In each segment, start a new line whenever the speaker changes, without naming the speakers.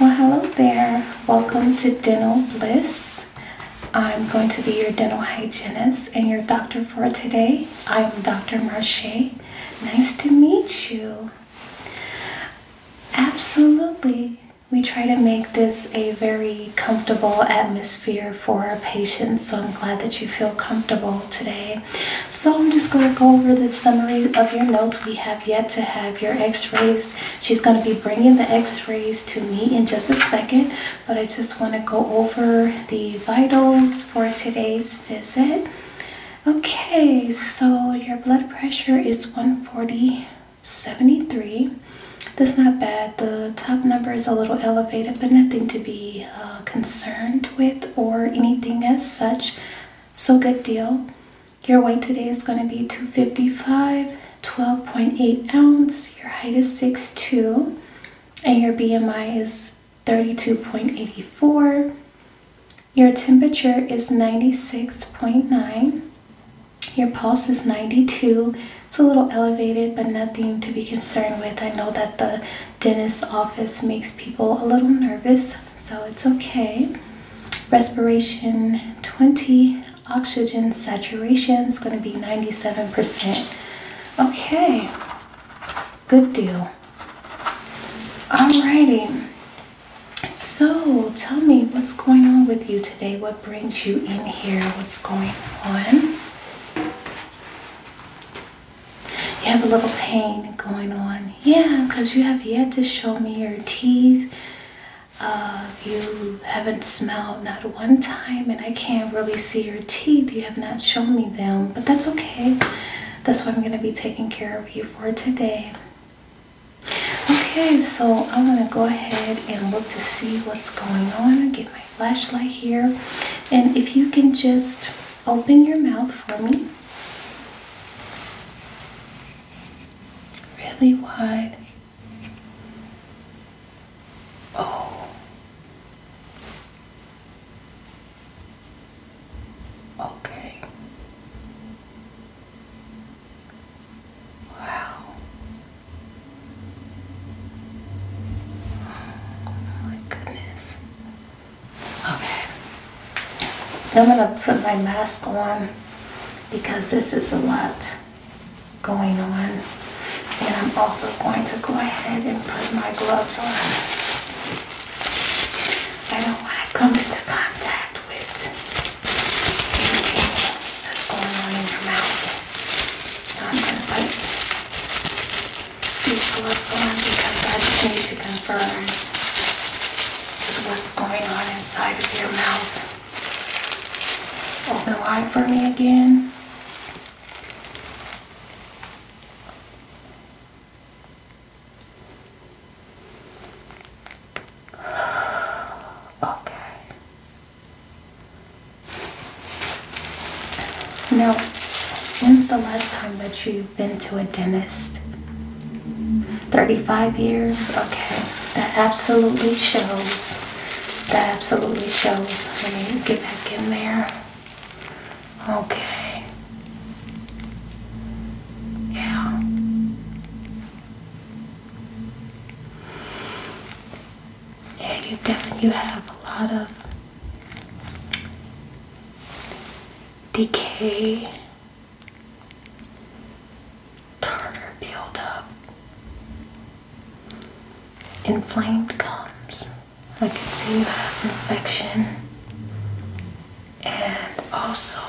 Well, hello there. Welcome to Dental Bliss. I'm going to be your dental hygienist and your doctor for today. I'm Dr. Marche. Nice to meet you. Absolutely. We try to make this a very comfortable atmosphere for our patients, so I'm glad that you feel comfortable today. So, I'm just going to go over the summary of your notes. We have yet to have your x-rays. She's going to be bringing the x-rays to me in just a second, but I just want to go over the vitals for today's visit. Okay, so your blood pressure is 140 73. That's not bad. The top number is a little elevated, but nothing to be uh, concerned with or anything as such. So good deal. Your weight today is going to be 255, 12.8 ounce. Your height is 6'2, and your BMI is 32.84. Your temperature is 96.9. Your pulse is 92. It's a little elevated, but nothing to be concerned with. I know that the dentist office makes people a little nervous so it's okay. Respiration 20, oxygen saturation is going to be 97%. Okay, good deal. Alrighty, so tell me what's going on with you today? What brings you in here? What's going on? You have a little pain going on. Yeah, because you have yet to show me your teeth uh, you haven't smelled not one time, and I can't really see your teeth. You have not shown me them, but that's okay. That's what I'm going to be taking care of you for today. Okay, so I'm going to go ahead and look to see what's going on. I Get my flashlight here. And if you can just open your mouth for me really wide. Oh. Okay. Wow. Oh my goodness. Okay. I'm going to put my mask on because this is a lot going on. And I'm also going to go ahead and put my gloves on. I don't want to come into contact with anything that's going on in your mouth. So I'm going to put these gloves on because I just need to confirm what's going on inside of your mouth. Open wide for me again. Okay. Now, when's the last time that you've been to a dentist? 35 years? Okay. That absolutely shows. That absolutely shows. Let me get back in there. Okay. Yeah. Yeah, you definitely you have a lot of decay tartar buildup, inflamed gums. I can see you have infection, and also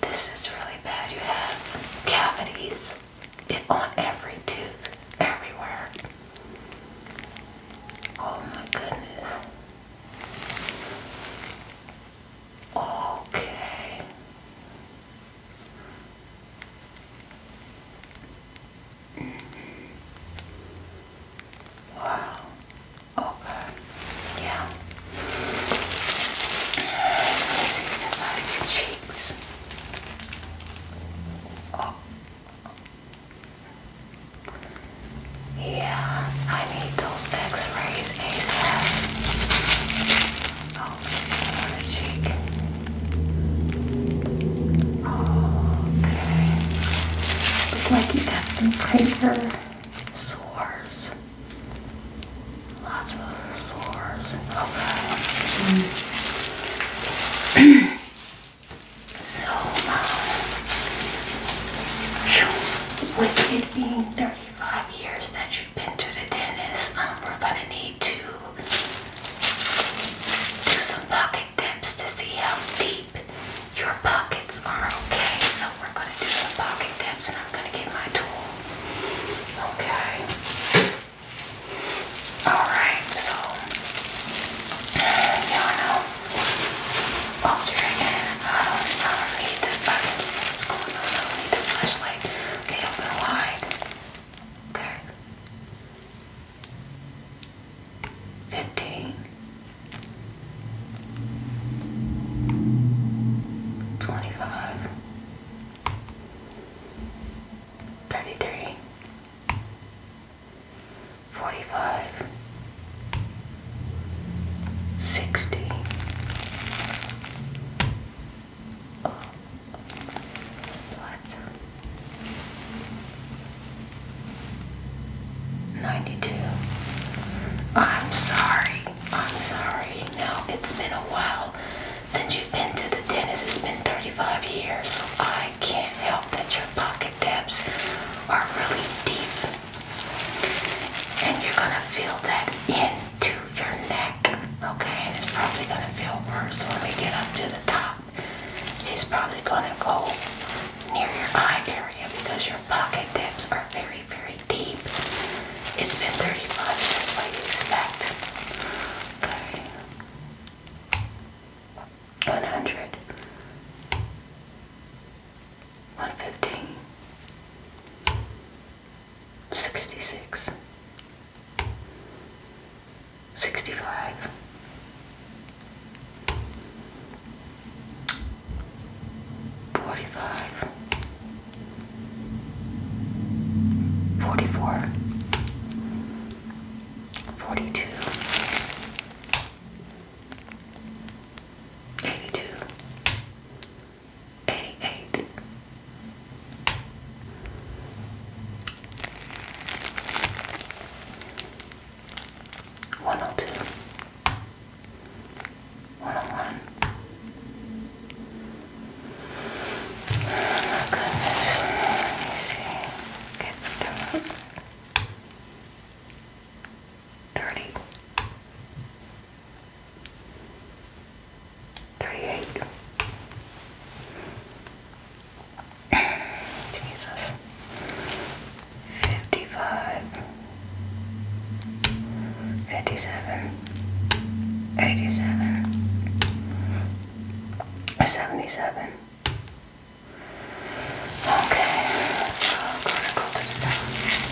this is really bad. You have cavities on every tooth, everywhere. Oh my goodness. Okay. Mm-hmm. Wow. Okay. Yeah. Inside your cheeks. Oh. Yeah, I need those x-rays ASAP. Oh, on the cheek. Okay. Looks like you got some crater sores. Lots of sores. Okay. so, um, with the being 35 years that you've been to the dentist, um, we're gonna need to do some pocket dips to see how deep your pockets are. Okay, so we're gonna do some pocket dips, and I'm gonna get my tool. Okay. All right. So y'all know Hold your hand. I don't, need the, I don't on. I need the flashlight. Okay, open wide. Okay. 15 25 33 45 sixty. what? Ninety-two. I'm sorry. I'm sorry. No, it's been a while since you've been to the dentist. It's been thirty-five years, so I can't help that your pocket depths are really deep. And you're gonna feel that into your neck, okay? And it's probably gonna feel worse when we get up to the top. It's probably gonna go near your eye area because your pocket depths are very, very deep. It's been 35 minutes like you expect. Okay. 100 115 66 65 45 44 42 82 a8. One oh two, one oh one. Oh my goodness, let me see. Get Thirty. Thirty-eight. Jesus. Fifty-five. Fifty-seven. Eighty-seven. Seventy-seven. Okay, oh,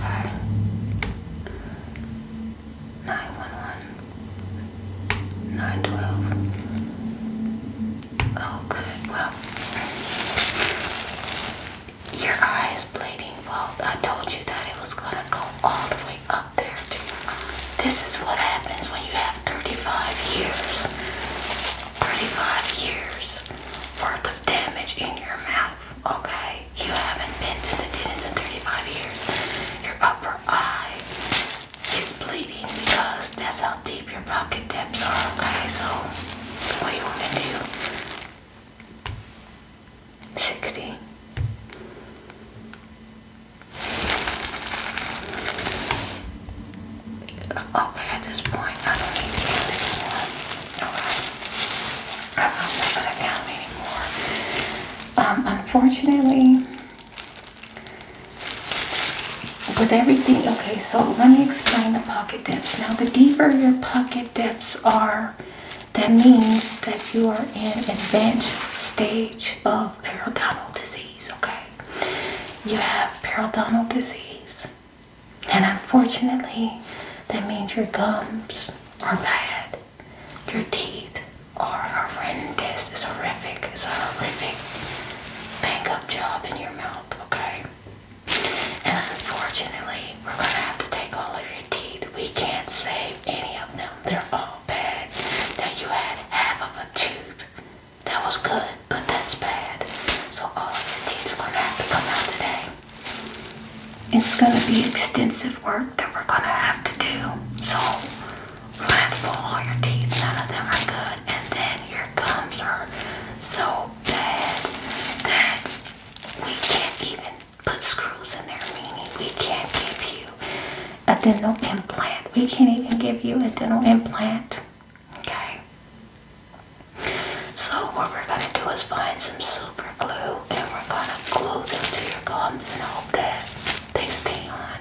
nine one one, nine twelve. Oh, good. Well, your eye bleeding. Well, I told you that it was gonna go all the way up there. This is what happens when you have thirty-five years, thirty-five years worth of damage in your mouth okay? You haven't been to the dentist in 35 years. Your upper eye is bleeding because that's how deep your pocket depths are, okay? So, what do you want to do? 60. Okay, at this point, I don't need to do this um, unfortunately, with everything, okay, so let me explain the pocket depths. Now, the deeper your pocket depths are, that means that you are in advanced stage of periodontal disease, okay? You have periodontal disease, and unfortunately, that means your gums are bad. Your teeth are horrendous. It's horrific. It's a horrific bank up job in your mouth, okay? And unfortunately, we're gonna have to take all of your teeth. We can't save any of them. They're all bad. Now you had half of a tooth. That was good, but that's bad. So all of your teeth are gonna have to come out today. It's gonna be extensive work that we're gonna have to do. So we're gonna have to pull all your teeth, none of them are good, and then your gums are so bad that we can't even put screws in there, meaning we can't give you a dental implant. We can't even give you a dental implant. Okay. So what we're gonna do is find some super glue and we're gonna glue them to your gums and hope that they stay on.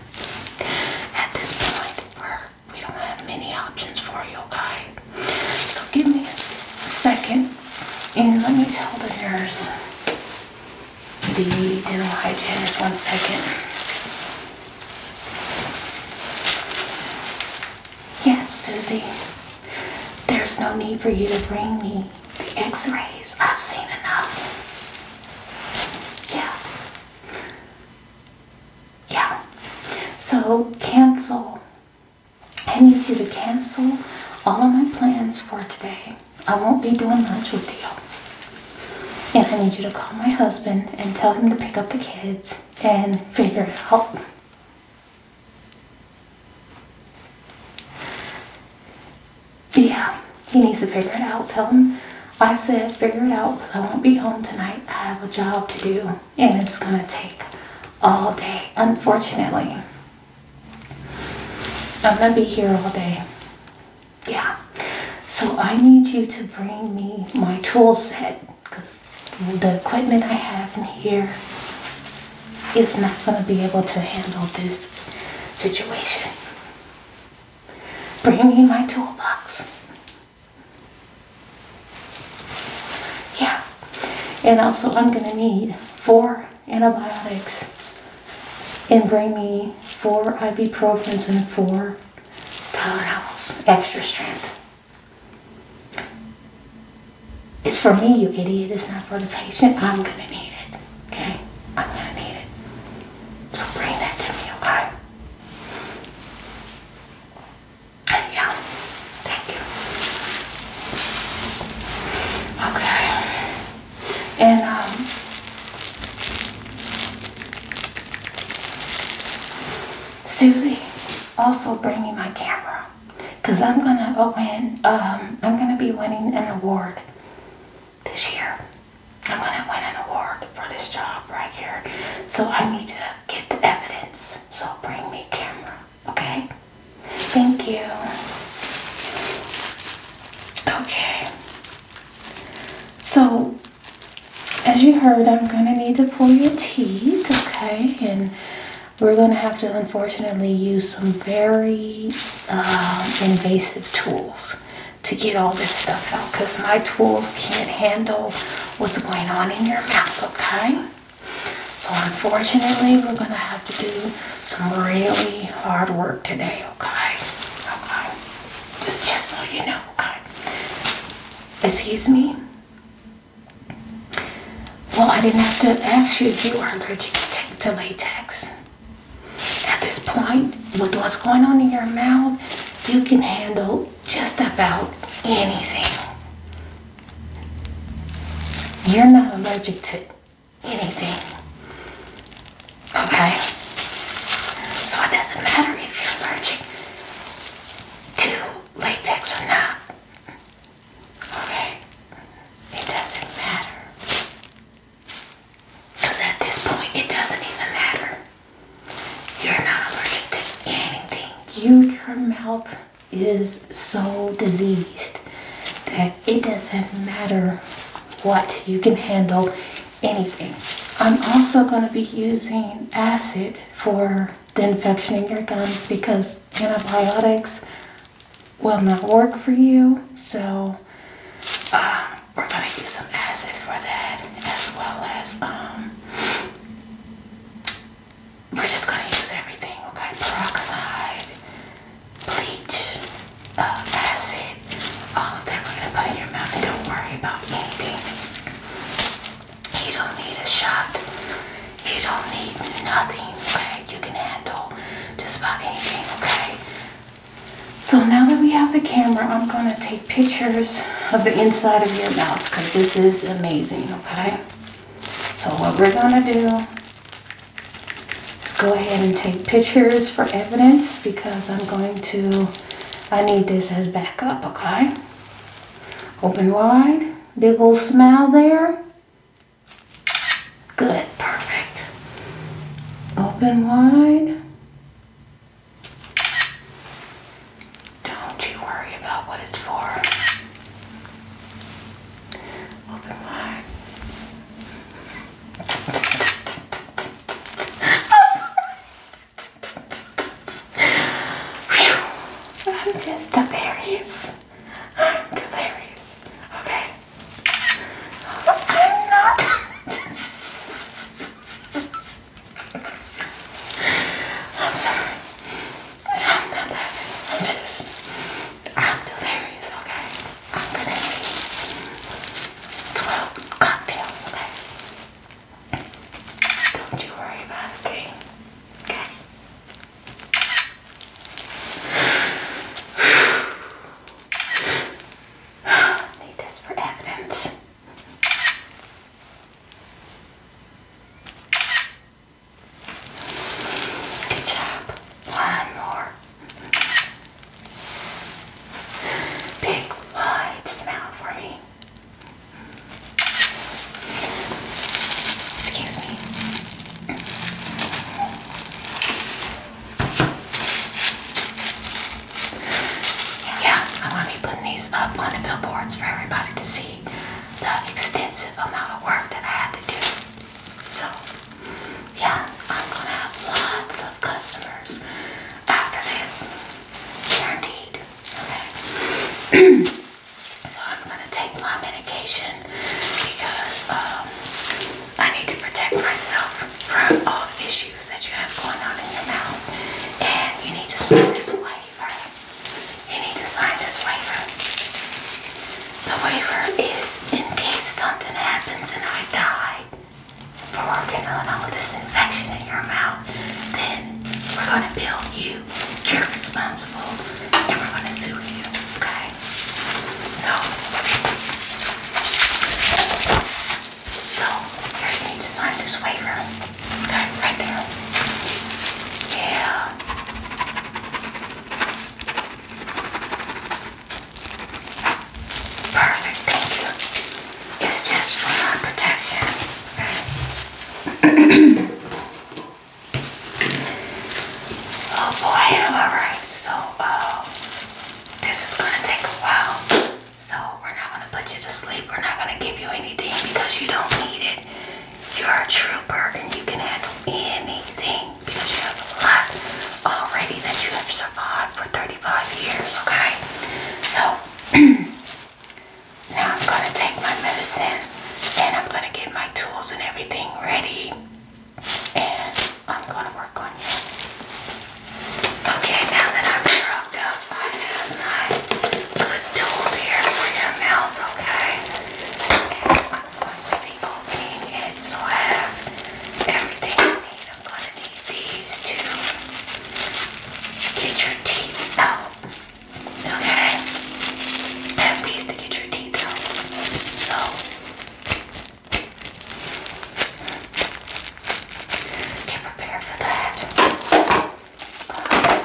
At this point, we're, we do not have many options for you, okay? So give me a second and let me tell the nurse, the dental hygienist, one second. Yes, Susie. There's no need for you to bring me the x-rays, I've seen enough. Yeah. Yeah. So cancel. I need you to cancel all of my plans for today. I won't be doing much with you. And I need you to call my husband and tell him to pick up the kids and figure it out. Yeah, he needs to figure it out. Tell him I said figure it out because I won't be home tonight. I have a job to do and it's going to take all day, unfortunately. I'm going to be here all day. Yeah. So I need you to bring me my tool set because the equipment I have in here is not going to be able to handle this situation. Bring me my toolbox. Yeah. And also, I'm going to need four antibiotics and bring me four ibuprofens and four Tylenols, extra strength. It's for me, you idiot. It's not for the patient. I'm gonna need it. Okay? I'm gonna need it. So bring that to me, okay? Yeah. Thank you. Okay. And um Susie, also bring me my camera. Cause I'm gonna open um I'm gonna be winning an award this year. I'm gonna win an award for this job right here. So I need to get the evidence. So bring me camera, okay? Thank you. Okay. So as you heard, I'm gonna need to pull your teeth, okay? And we're gonna have to unfortunately use some very uh, invasive tools to get all this stuff out because my tools can't handle what's going on in your mouth, okay? So unfortunately, we're going to have to do some really hard work today, okay? Okay. Just, just so you know, okay? Excuse me? Well, I didn't have to ask you if you were allergic to latex. At this point, with what's going on in your mouth, you can handle just about anything. You're not allergic to anything. Okay? So it doesn't matter if you're allergic to latex or not. Okay? It doesn't matter. Because at this point, it doesn't even matter. You're not allergic to anything. You, your mouth is so diseased that it doesn't matter what. You can handle anything. I'm also going to be using acid for the infection in your gums because antibiotics will not work for you. So uh, we're going to use some acid for that as well as um, we're just going to use everything, okay? Peroxide, bleach, uh, acid, all of that we're going to put in your mouth and don't worry about anything. You don't need a shot. You don't need nothing, okay? You can handle just about anything, okay? So now that we have the camera, I'm gonna take pictures of the inside of your mouth because this is amazing, okay? So what we're gonna do is go ahead and take pictures for evidence because I'm going to, I need this as backup, okay? Open wide, big old smile there. Good, perfect. Open wide. Don't you worry about what it's for. Open wide. I'm, I'm just delirious. I'm delirious. Okay. I'm not. I'm sorry. I'm not laughing. I'm just. I'm delirious, okay? I'm gonna need 12 cocktails, okay? Don't you worry about a okay? Need this for evidence. Good job. One more. Big wide smile for me. Excuse me. Yeah, I'm going to be putting these up on the billboards for everybody to see the extensive amount of work that I had to do. So, yeah, I'm going to have lots of customers after this. Guaranteed. Okay. so, I'm going to take my medication because um, I need to protect myself from all the issues that you have going on in your mouth. And you need to sign this waiver. You need to sign this waiver. The waiver is in case something happens and I die from working on with this infection in your mouth, then we're going to bill you. You're responsible and we're going to sue you. Okay? So, so you need to sign this waiver. right there. Yeah. Perfect. Thank you. It's just for our protection. oh boy. All right. So, uh, this is gonna take a while. So we're not gonna put you to sleep. We're not gonna give you anything because you don't need it. You're a trooper and you can handle anything because you have a lot already that you have survived for 35 years, okay? So now I'm gonna take my medicine and I'm gonna get my tools and everything ready and I'm gonna work on you. Okay, now that I'm shrugged I have my good tools here for your mouth, okay? I'm going to be opening it so everything I need. I'm gonna need these to get your teeth out. Okay? I these to get your teeth out. So Get prepared for that.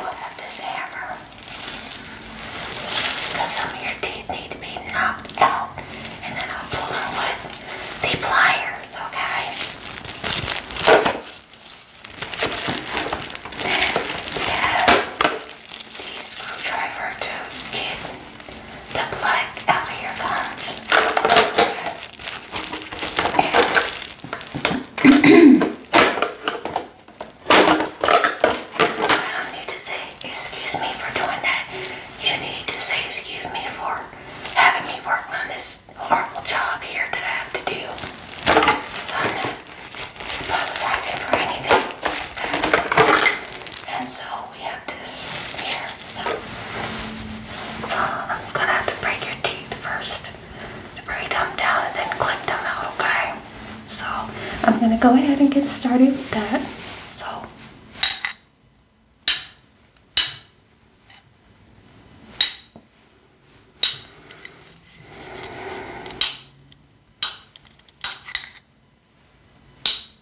We'll have this hammer. Because some of your teeth need to be knocked out. And then I'll pull them with the pliers, okay? Then we have the screwdriver to get the black out of your guns. I don't need to say excuse me for doing that. You need to say excuse me for having me work on this horrible job here that I have to do. So I'm not apologizing for anything. And so so I'm gonna have to break your teeth first. Break them down and then clip them out, okay? So I'm gonna go ahead and get started with that. So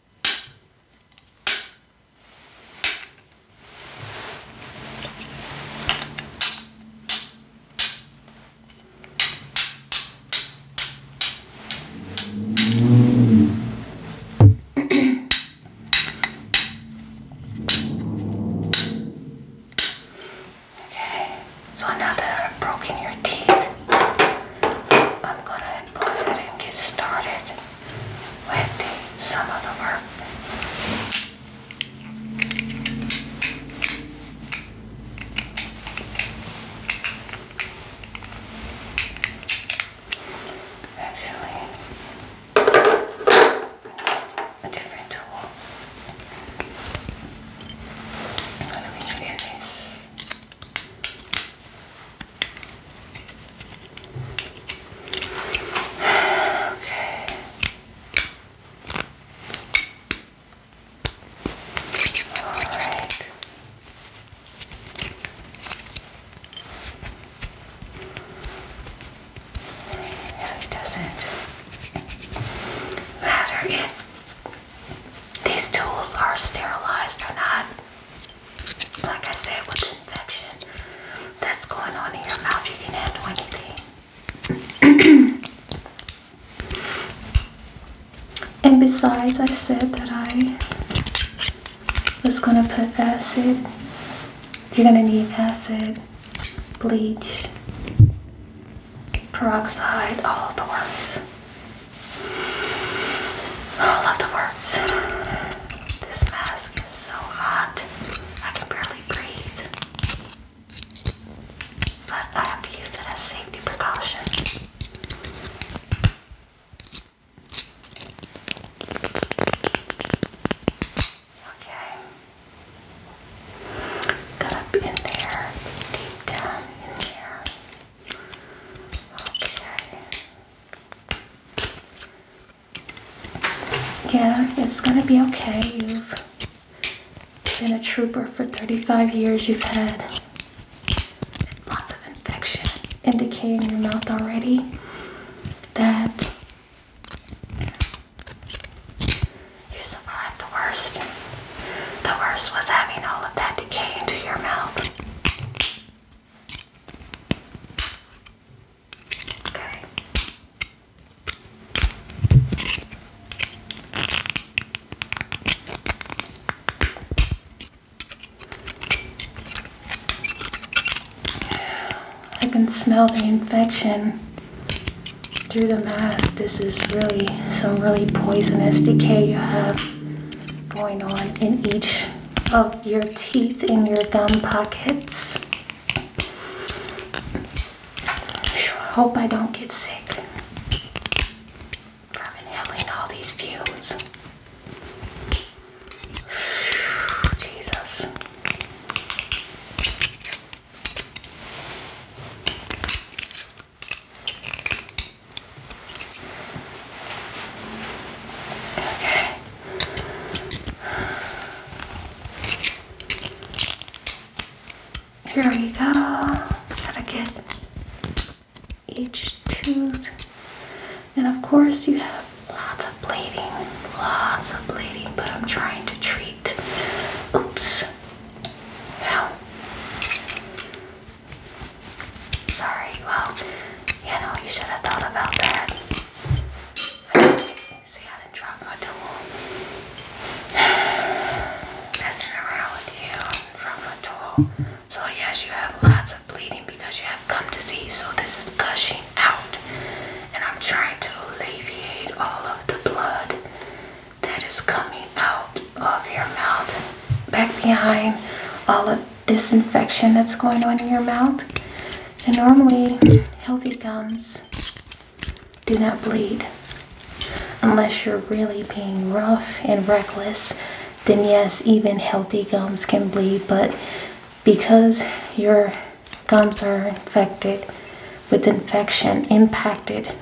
Okay, so now that I've broken your teeth, I'm gonna go ahead and get started with some of the work. Actually, a different tool. I'm going to be doing this. Okay. All right. it doesn't matter if these tools are sterilized or not. Like I said, with infection that's going on in your mouth, you can handle anything. and besides, I said that I was going to put acid. You're going to need acid, bleach, peroxide, all of the works. All of the works. This mask is so hot, I can barely breathe. But I have to use it as safety precaution. Okay. Got up in there, deep down in there. Okay. Yeah, it's gonna be okay. You've been a trooper for 35 years. You've had lots of infection indicating in your mouth already that you survived the worst. The worst was having all of that decay into your mouth. I can smell the infection through the mask. This is really some really poisonous decay you have going on in each of your teeth in your gum pockets. hope I don't get sick. I've been all these fumes. Jesus. Okay. Here we go. Gotta get each tooth. And of course, you have lots of bleeding, lots of bleeding, but I'm trying to treat. Oops. Ow. Sorry. Well, you know, you should have thought about that. See how the drug tool messing around with you on the tool. So yes, you have lots of bleeding because you have gum disease. So this is gushing out, and I'm trying to alleviate all of the blood that is coming out of your mouth, back behind all of this infection that's going on in your mouth. And normally, healthy gums do not bleed. Unless you're really being rough and reckless, then yes, even healthy gums can bleed. But because your gums are infected with infection, impacted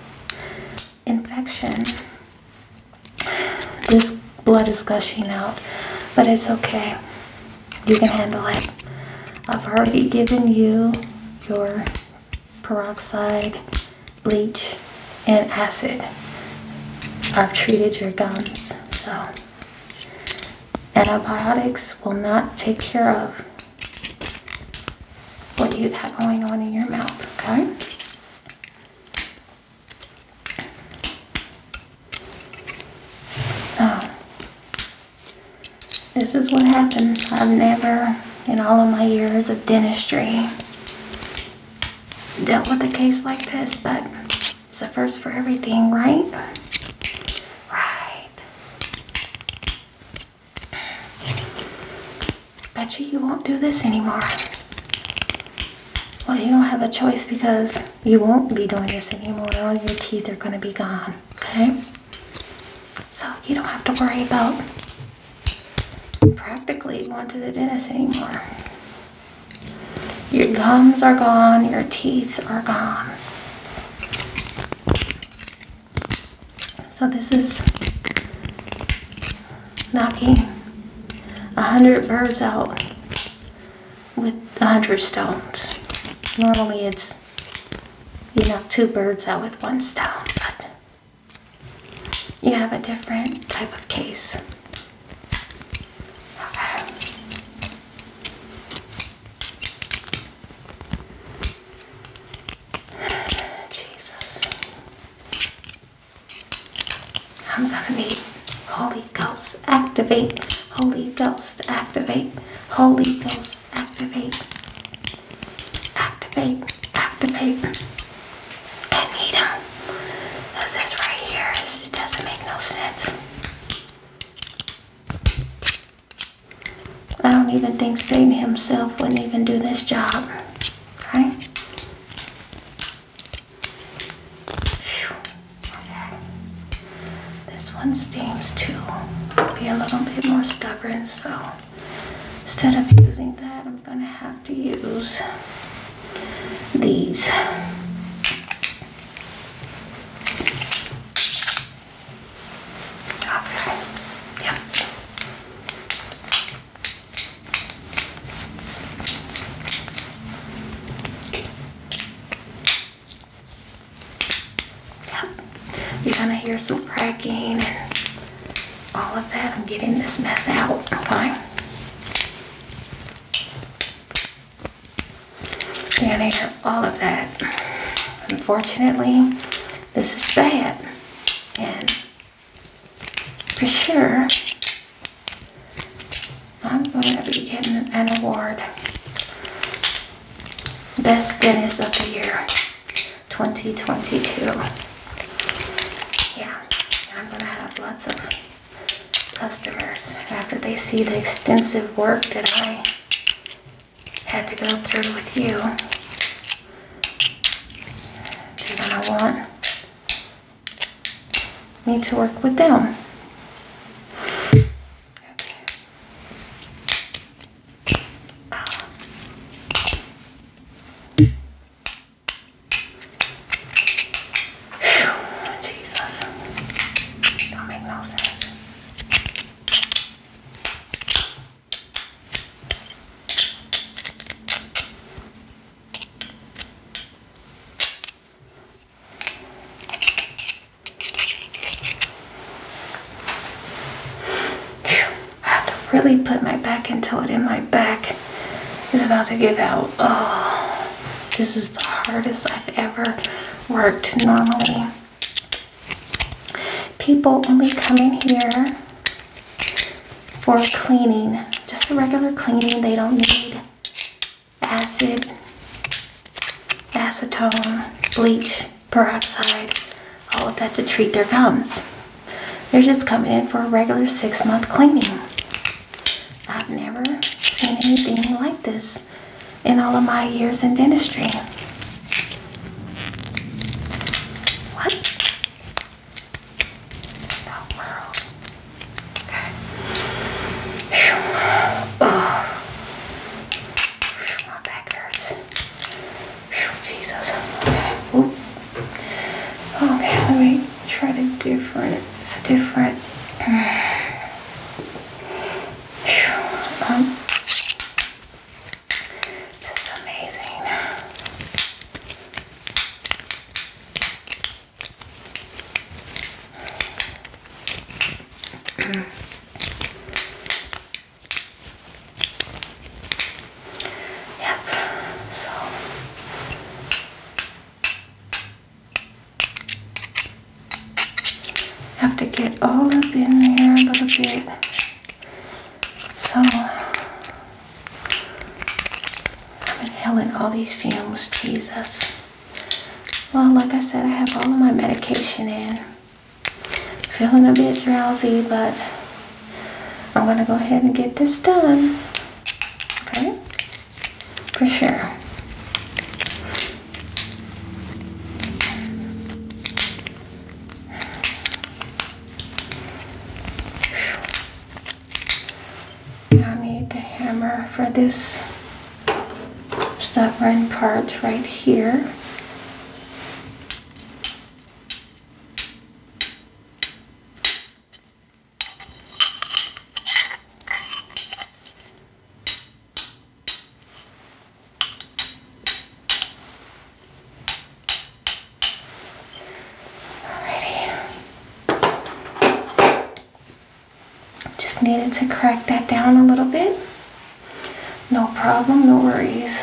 infection, this blood is gushing out, but it's okay. You can handle it. I've already given you your peroxide, bleach, and acid. I've treated your gums, so antibiotics will not take care of what you have going on in your mouth, okay? Oh. This is what happened. I've never, in all of my years of dentistry, dealt with a case like this, but it's a first for everything, right? Right. Bet you won't do this anymore. Well, you don't have a choice because you won't be doing this anymore. All your teeth are going to be gone, okay? So you don't have to worry about practically going to the dentist anymore. Your gums are gone, your teeth are gone. So this is knocking a hundred birds out with the hundred stones. Normally it's you knock two birds out with one stone, but you have a different type of case. Jesus. I'm gonna be Holy Ghost Ghost, activate. Holy Ghost, activate. Holy Ghost, activate. Activate, activate. And he don't. Because this right here, is, it doesn't make no sense. I don't even think Satan himself wouldn't even do this job. Right? Whew. This one seems to be a little bit more stubborn, so instead of using that, I'm going to have to use these. Okay. Yep. Yep. You're gonna hear some cracking and all of that. I'm getting this mess out. Okay. You're gonna hear all of that. Unfortunately, this is bad. And for sure, I'm going to be getting an award Best business of the year 2022. Yeah, I'm going to have lots of customers after they see the extensive work that I had to go through with you. they want me to work with them. Okay. Um, Jesus. Don't make no sense. I have to really put my back into it and my back is about to give out. Oh, this is the hardest I've ever worked normally. People only come in here for cleaning, just a regular cleaning. They don't need acid acetone, bleach, peroxide, all of that to treat their gums. They're just coming in for a regular six month cleaning. I've never seen anything like this in all of my years in dentistry. What? The world. Okay. Oh my Jesus. Okay. let me try to different, different. Um. this is amazing. Yep, so have to get all up in there a little bit. So I'm inhaling all these fumes, Jesus. Well, like I said, I have all of my medication in. Feeling a bit drowsy, but I'm gonna go ahead and get this done. Okay? For sure. I need the hammer for this. Stop right red part right here. Alrighty. Just needed to crack that down a little bit. No problem, no worries.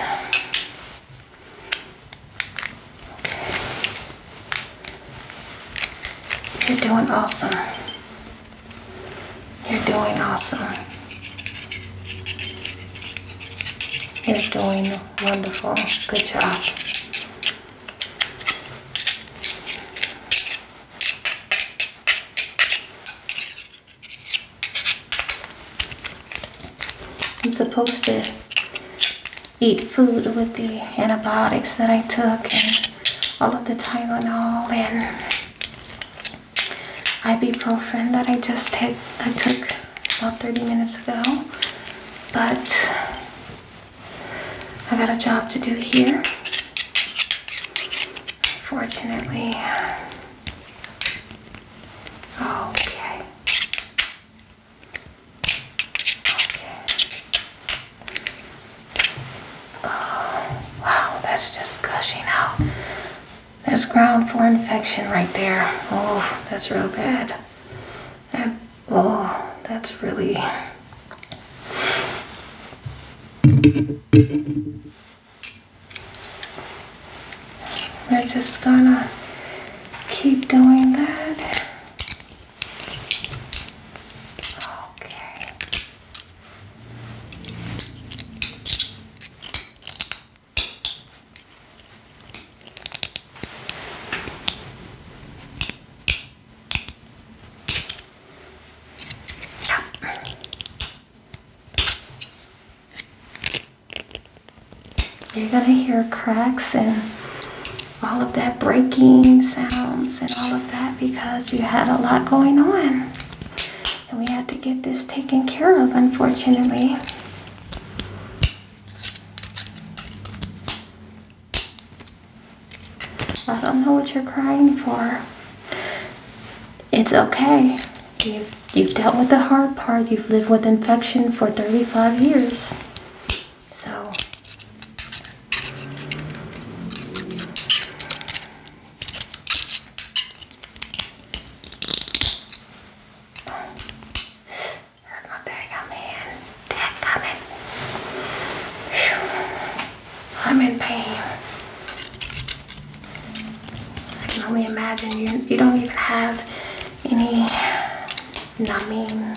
You're doing awesome. You're doing awesome. You're doing wonderful. Good job. I'm supposed to eat food with the antibiotics that I took and all of the Tylenol and ibuprofen that I just t- I took about 30 minutes ago. But I got a job to do here. Fortunately, Okay. Okay. Oh, wow, that's just gushing out. That's ground for infection right there. Oh, that's real bad. That, oh, that's really. We're just gonna keep doing that. Okay. You're going to hear cracks and all of that breaking sounds and all of that because you had a lot going on. And we had to get this taken care of, unfortunately. I don't know what you're crying for. It's okay. You've, you've dealt with the hard part. You've lived with infection for 35 years. So, hurt my bag. I'm coming. I'm in pain. I can only imagine you, you don't even have any numbing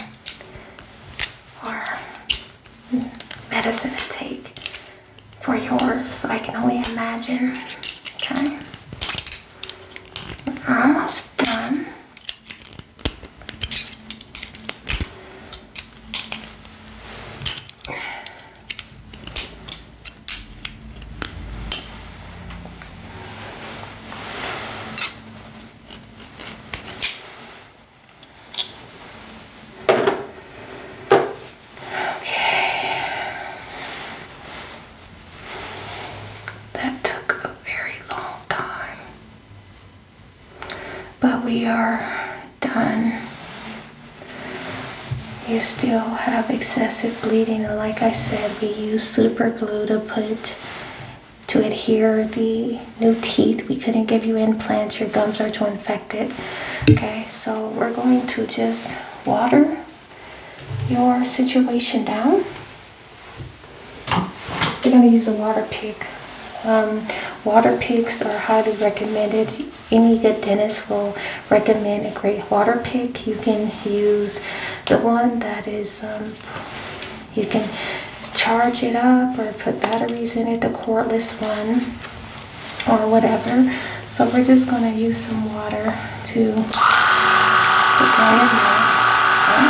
or medicine to take for yours, so I can only imagine. Okay. almost done. Okay. That took a very long time. But we are done you still have excessive bleeding and like I said we use super glue to put to adhere the new teeth we couldn't give you implants your gums are too infected okay so we're going to just water your situation down we're going to use a water pick um, water picks are highly recommended any good dentist will recommend a great water pick. You can use the one that is, um, you can charge it up or put batteries in it, the cordless one or whatever. So we're just going to use some water to put that in there.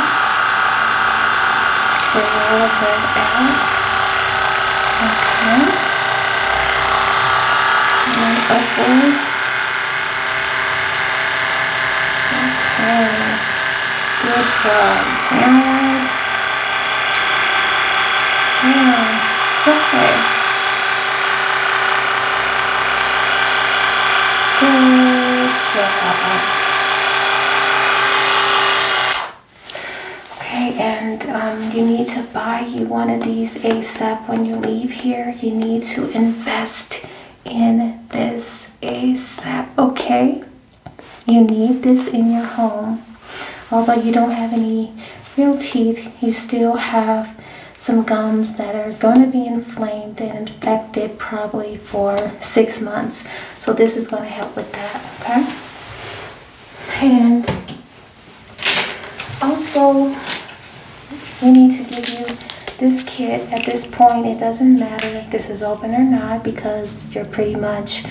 Spray all of that out. Okay. And upward. Okay. Good job. And it's okay. Good job. Okay, and um, you need to buy you one of these ASAP when you leave here you need to invest in this ASAP, okay? You need this in your home. Although you don't have any real teeth, you still have some gums that are going to be inflamed and infected probably for six months. So this is going to help with that, okay? And also, we need to give you this kit. At this point, it doesn't matter if this is open or not because you're pretty much,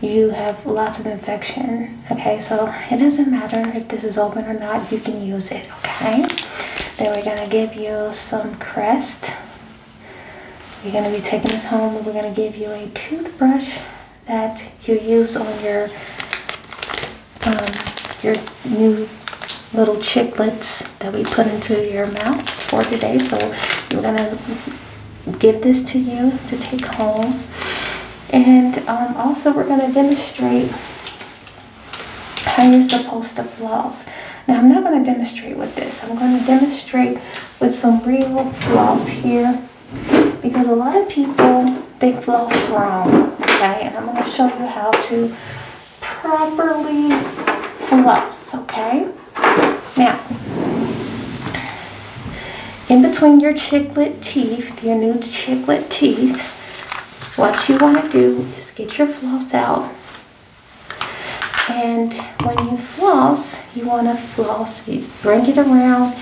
you have lots of infection. Okay, so it doesn't matter if this is open or not, you can use it. Okay, then we're gonna give you some Crest. You're gonna be taking this home we're gonna give you a toothbrush that you use on your um, your new little chicklets that we put into your mouth for today. So we're gonna give this to you to take home. And um, also we're gonna demonstrate how you're supposed to floss. Now I'm not gonna demonstrate with this. I'm gonna demonstrate with some real floss here because a lot of people they floss wrong, okay? And I'm gonna show you how to properly floss, okay? Now, in between your chiclet teeth, your new chiclet teeth, what you want to do is get your floss out. And when you floss, you want to floss, you bring it around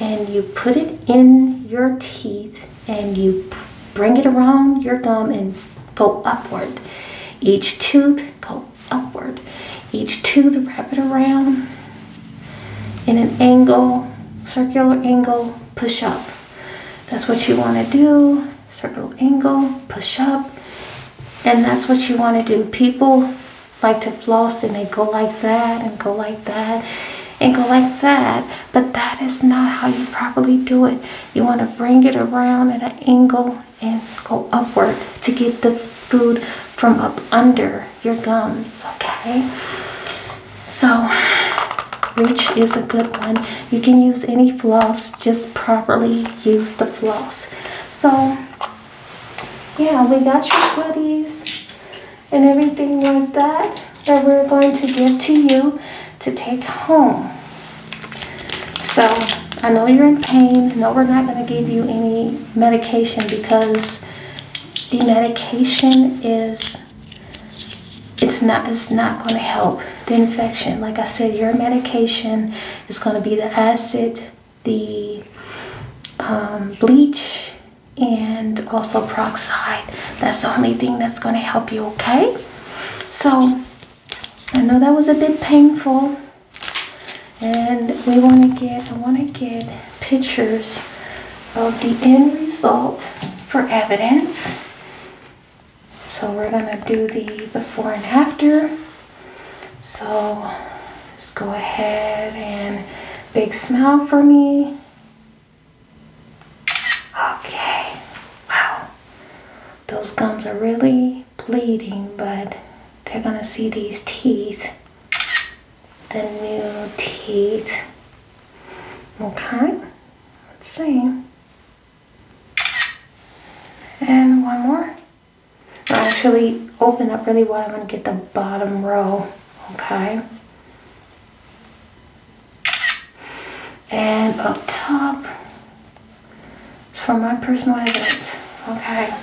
and you put it in your teeth and you bring it around your gum and go upward. Each tooth, go upward. Each tooth, wrap it around in an angle, circular angle, push up. That's what you want to do. Circle angle, push up. And that's what you want to do. People like to floss and they go like that and go like that and go like that. But that is not how you properly do it. You want to bring it around at an angle and go upward to get the food from up under your gums, okay? So reach is a good one. You can use any floss, just properly use the floss. So yeah, we got your goodies and everything like that that we're going to give to you to take home. So I know you're in pain. No, we're not going to give you any medication because the medication is it's not it's not going to help the infection. Like I said, your medication is going to be the acid, the um, bleach, and also peroxide that's the only thing that's going to help you okay so i know that was a bit painful and we want to get i want to get pictures of the end result for evidence so we're going to do the before and after so let's go ahead and big smile for me Okay, wow. Those gums are really bleeding, but they're gonna see these teeth. The new teeth. Okay, let's see. And one more. I'll actually open up really wide. I'm to get the bottom row, okay? And up top, it's for my personal evidence. Okay.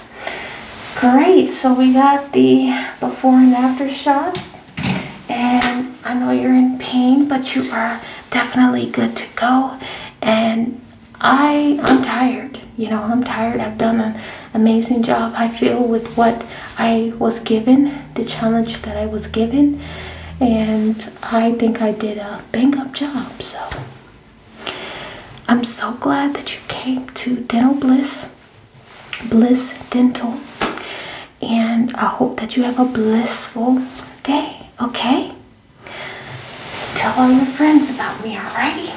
Great, so we got the before and after shots. And I know you're in pain, but you are definitely good to go. And I, I'm tired. You know, I'm tired. I've done an amazing job, I feel, with what I was given the challenge that I was given, and I think I did a bang up job. So I'm so glad that you came to Dental Bliss, Bliss Dental, and I hope that you have a blissful day. Okay, tell all your friends about me, alrighty?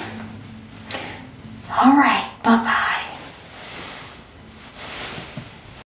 Alright, bye bye.